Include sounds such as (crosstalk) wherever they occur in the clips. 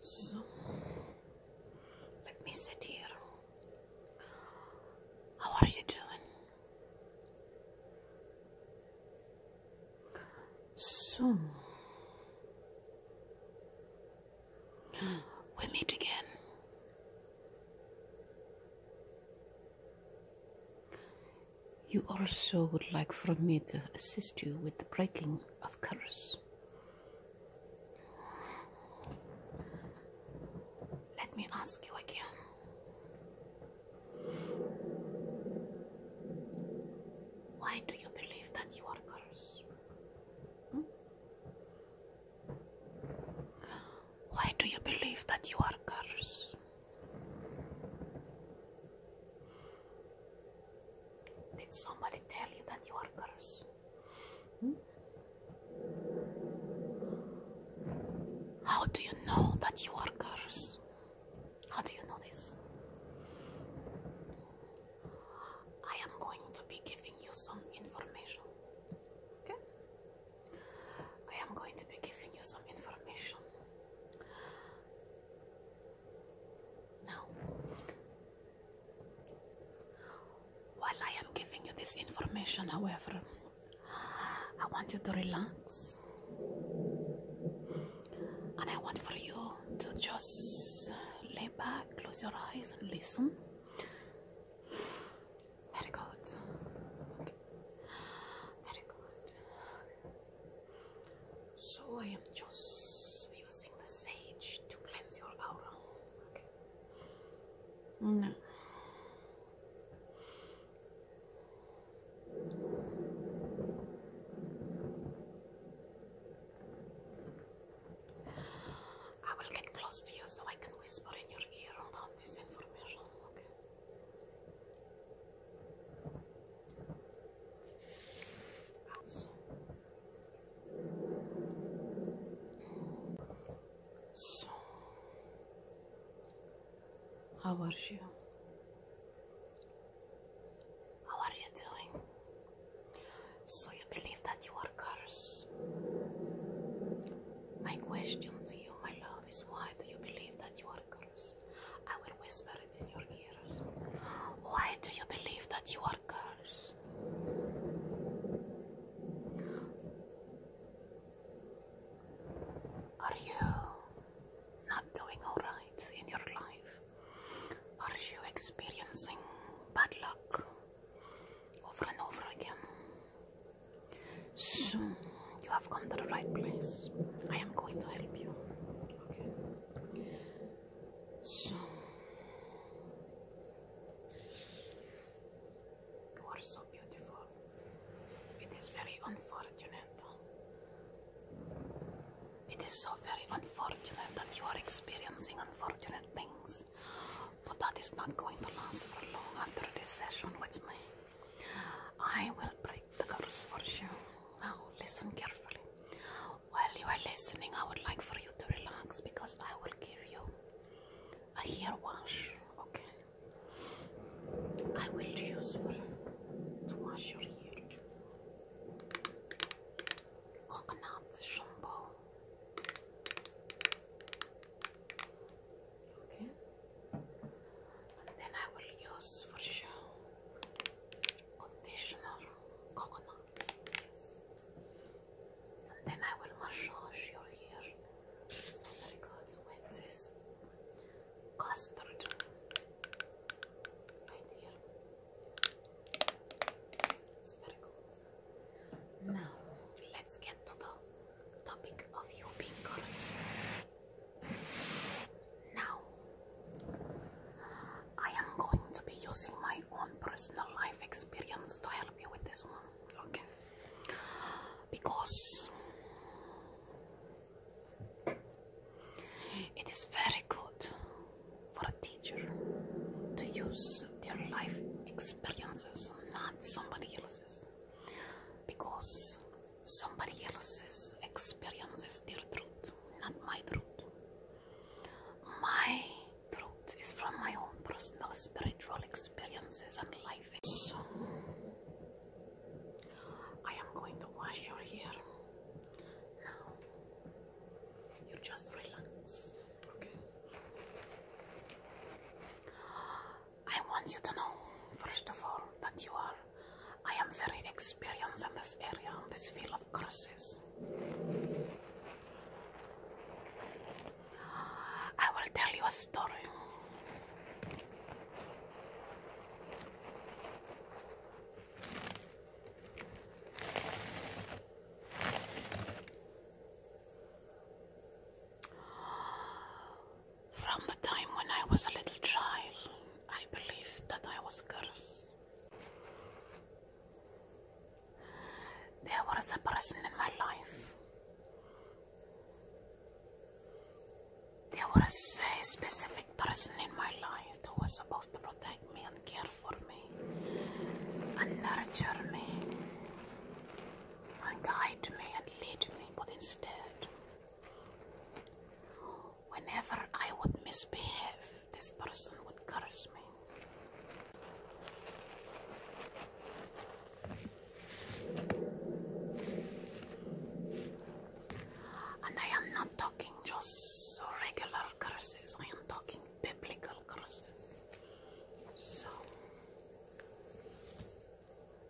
So let me sit here. How are you doing? So we meet again. You also would like for me to assist you with the breaking of curse. Let me ask you again. Why do you believe that you are cursed? Hmm? Why do you believe that you are cursed? Did somebody tell you that you are cursed? Hmm? How do you know that you are cursed? How do you know this? I am going to be giving you some information. Okay? I am going to be giving you some information. Now, while I am giving you this information, however, I want you to relax and I want for you to just lay back, close your eyes, and listen. Very good. So I am just using the sage to cleanse your aura. Okay. No. Mm. I will get close to you so I can whisper in your ear about this information, So, how are you? How are you doing? So you believe that you are cursed? My question to you, my love, is why do you believe that you are cursed? I will whisper it in your ears. Why do you believe that you are cursed? Are you not doing alright in your life? Are you experiencing bad luck over and over again? So, you have come to the right place. I am going to help you. So, you are so beautiful. It is very unfortunate it is so very unfortunate that you are experiencing unfortunate things, but that is not going to last for long after this session with me. I will break the curse for you. Now, listen carefully. While you are listening, I would like for you to relax because I will give you a hair wash, okay? I will use to wash your hair. Coconut shampoo. Okay. And then I will use for show conditioner coconuts. And then I will massage your hair so that it goes with this Custard. Right here. It's Now, let's get to the topic of you being Now, I am going to be using my own personal life experience to help you with this one, okay? Because it is very good for a teacher to use their life experiences, not somebody else's, because somebody else's experiences their truth, not my truth. My truth is from my own personal spiritual experiences and life. So, I am going to wash your hair. Now, you just relax, okay? I want you to know, first of all, that you are, I am very experienced in this area, in this field of curses. I will tell you a story. From the time when I was a little child, I believed that I was cursed. There was a person in my life there was a specific person in my life who was supposed to protect me and care for me and nurture me and guide me and lead me, but instead, whenever I would misbehave, this person would curse me. And I am not talking just regular curses, I am talking biblical curses. So,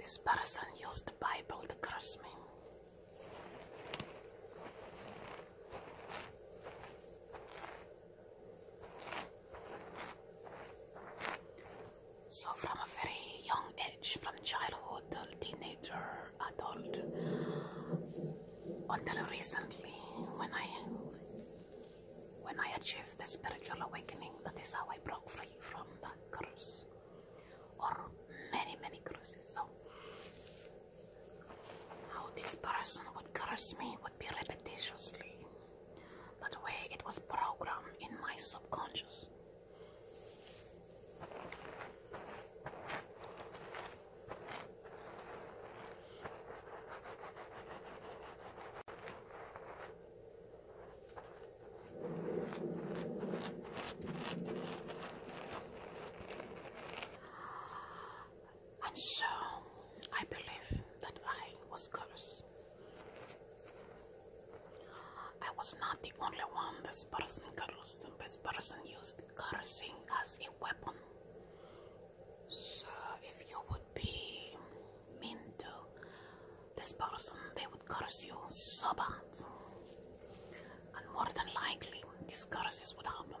this person used the Bible to curse me. So, from a very young age, from childhood to teenager, adult until recently when I when I achieved the spiritual awakening that is how I broke free from the curse or many many curses so how this person would curse me would be repetitiously But the way it was programmed in my subconscious and so I believe that I was cursed. I was not the only one this person, this person used cursing as a weapon. So if you would be mean to this person, they would curse you so bad. And more than likely, these curses would happen.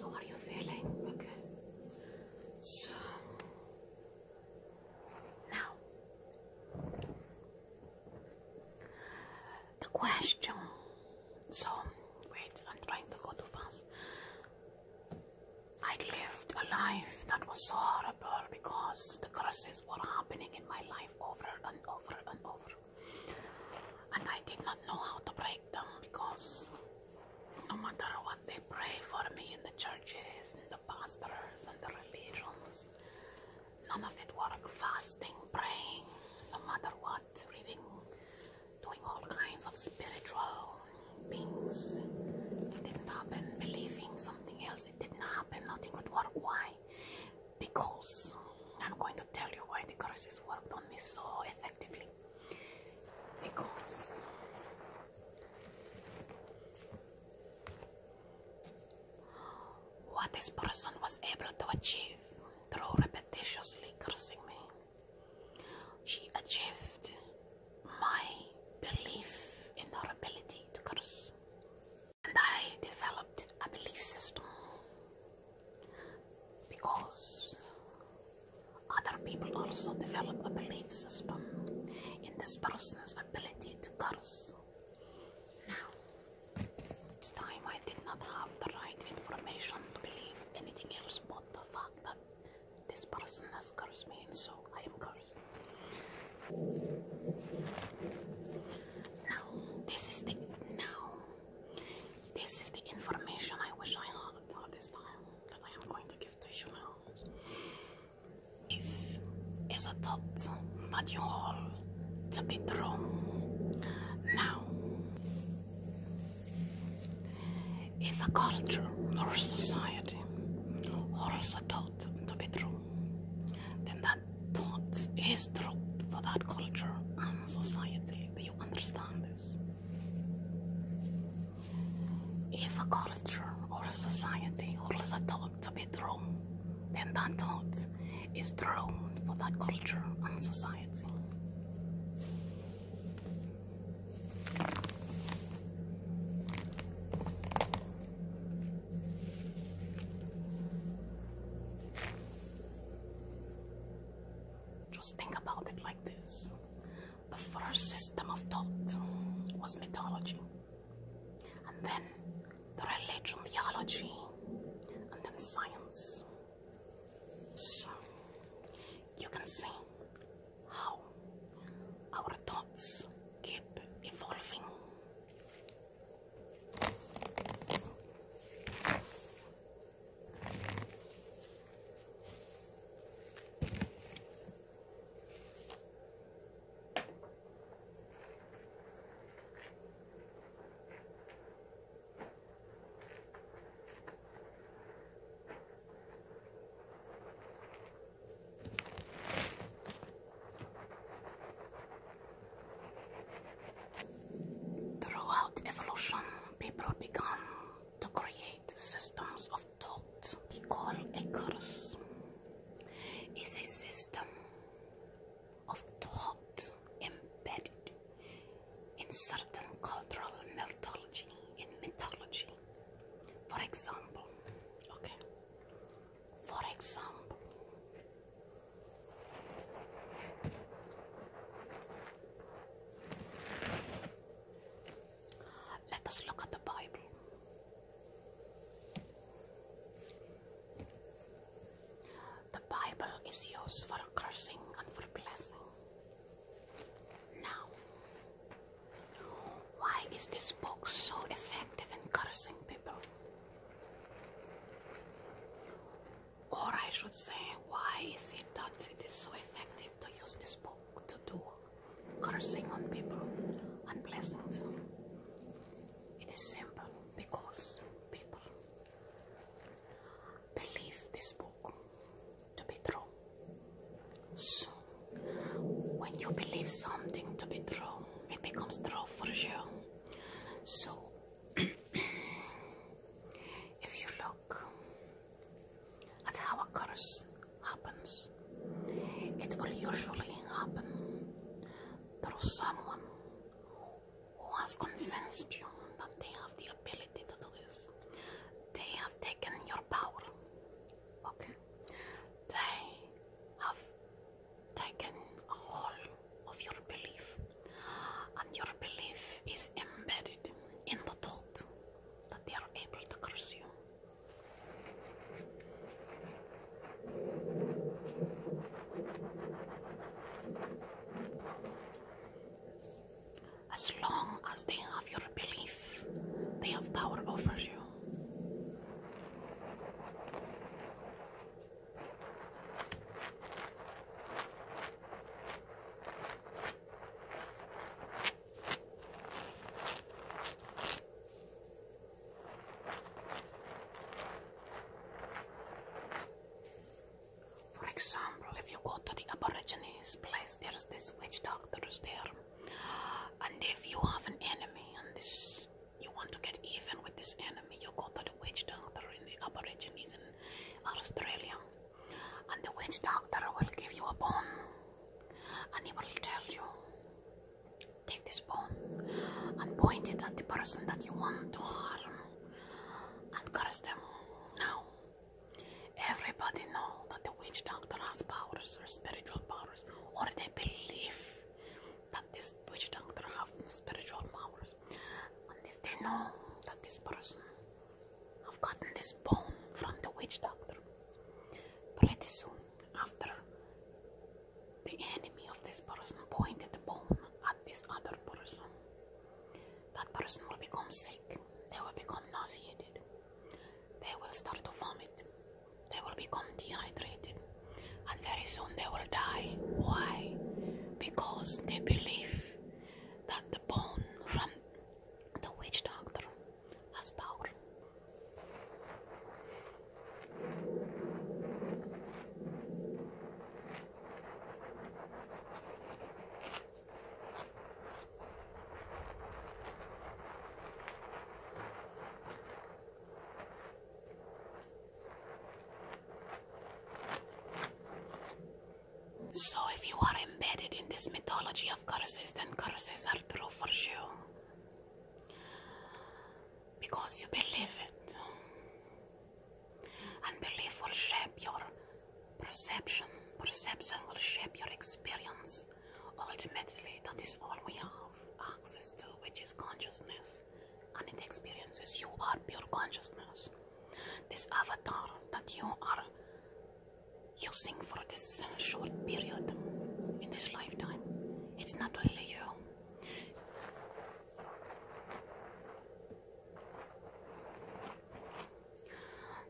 How are you feeling? Okay. So now the question. So wait, I'm trying to go too fast. I lived a life that was so horrible because the curses were happening in my life over and over and over. And I did not know how to break them because no matter what they pray for me in the churches and the pastors and the religions, none of it worked. Fasting, praying, no matter what reading, doing all kinds of spiritual things. It didn't happen, believing something else. It didn't happen, nothing would work. Why? Because I'm going to tell you why the curses worked on me so effectively. Because what this person was able to achieve through repetitiously cursing me she achieved my belief in her ability to curse, and I developed a belief system because other people also develop a belief system in this person's ability to curse. Now, this time I I did not have the right information to believe anything else but the fact that this person has cursed me, and so I am cursed. Now, this is the now. This is the information I wish I had at this time that I am going to give to you now. If is a thought that you all to be true now. If a culture or a society holds a thought to be true, then that thought is true for that culture and society. Do you understand this? If a culture or a society holds a thought to be true, then that thought is true for that culture and society. Just think about it like this the first system of thought was mythology, and then the religion, theology, and then science. So you can see how our thoughts keep evolving. Throughout evolution, people began to create systems of thought. We call a curse is a system of thought embedded in certain cultural mythology, in mythology. For example, okay. For example, let us look at the Bible. The Bible is used for cursing and for blessing. Now, why is this book so effective in cursing people? Or I should say, why is it that it is so effective to use this book to do cursing on people and blessing too? It is simple because people believe this book to be true. So, when you believe something to be true, it becomes true for you. So, (clears throat) if you look at how a curse happens, it will usually happen through someone who has convinced you that they have the ability to do this. They have taken your power. Okay? They have taken a hold of your belief, and your belief is embedded in the thought that they are able to curse you. As long as they have your belief, they have power over you. For example, if you go to the Aborigines place, there's these witch doctors there. And if you have an enemy and this you want to get even with this enemy, you go to the witch doctor in the Aborigines in Australia. And the witch doctor will give you a bone. And he will tell you, take this bone and point it at the person that you want to harm and curse them. Now, everybody knows that the witch doctor has powers or spiritual powers, or they believe that this witch doctor has spiritual powers. And if they know that this person have gotten this bone from the witch doctor, pretty soon after the enemy of this person pointed the bone at this other person. That person will become sick, they will become nauseated, they will start to vomit, they will become dehydrated, and very soon they will die. Why? Because they believe that the bone from the witch doctor has power. So if you are embedded in this mythology of curses, then curses are true for you. Because you believe it. And belief will shape your perception. Perception will shape your experience. Ultimately, that is all we have access to, which is consciousness. And it experiences you are pure consciousness. This avatar that you are using for this short period in this lifetime, it's not really you.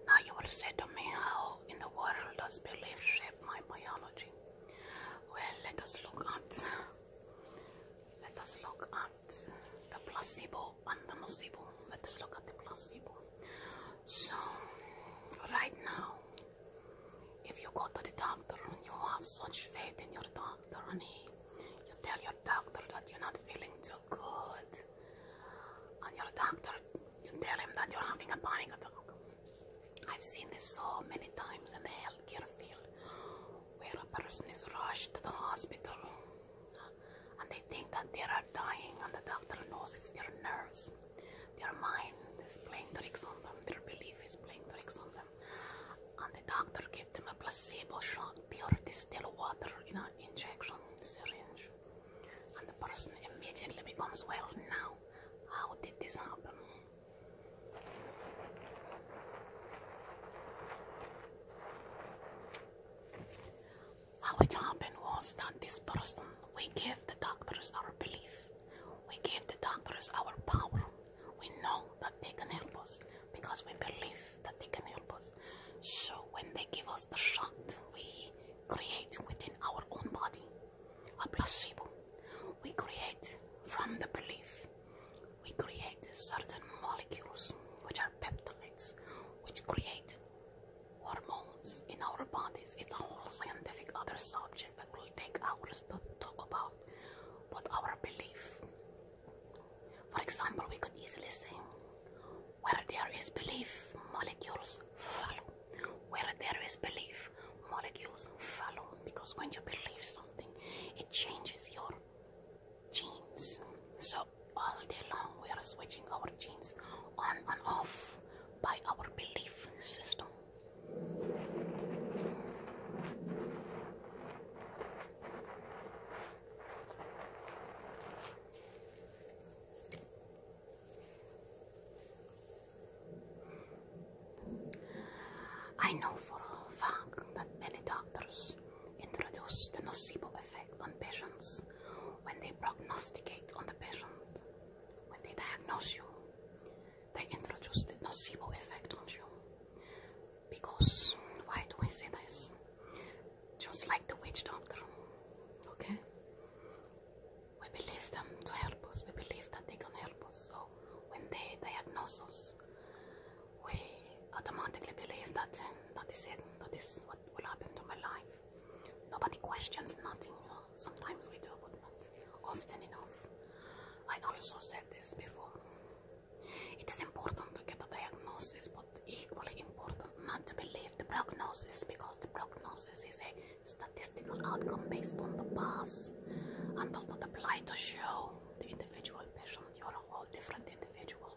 Now you will say to me, how in the world does belief shape my biology? Well, let us look at let us look at the placebo and the nocebo. Let us look at the placebo. So, right now, if you go to the doctor and you have such faith in your doctor and he you tell your doctor that you're not feeling too good. And your doctor, you tell him that you're having a panic attack. I've seen this so many times in the healthcare field where a person is rushed to the hospital and they think that they are dying and the doctor knows it's their nerves. Their mind is playing tricks on them, their belief is playing tricks on them. And the doctor gives give them a placebo shot, pure distilled water in an injection syringe, and the person immediately becomes well. Now, how did this happen? How it happened was that this person, we gave the doctors our belief, we gave the doctors our power. We know that they can help us because we believe that they can help us. So when they give us the shot, we create within our own body a placebo. We create from the belief. We create certain molecules which are peptides, which create hormones in our bodies. It's a whole scientific other subject that will take hours to talk about. But our belief for example, we could easily say, where there is belief, molecules follow. Where there is belief, molecules follow. Because when you believe something, it changes your genes. So all day long we are switching our genes on and off by our belief system. I know for a fact that many doctors introduce the nocebo effect on patients when they prognosticate on the patient. When they diagnose you, they introduce the nocebo effect on you. Because why do we say this? Just like the witch doctor, okay? We believe them to help us. We believe that they can help us. So when they diagnose us, we automatically believe that eh, that is it. That is what will happen to my life. Nobody questions nothing. You know? Sometimes we do, but not often enough. I also said this before. It is important to get a diagnosis, but equally important not to believe the prognosis because the prognosis is a statistical outcome based on the past and does not apply to show the individual patient. You are a whole different individual.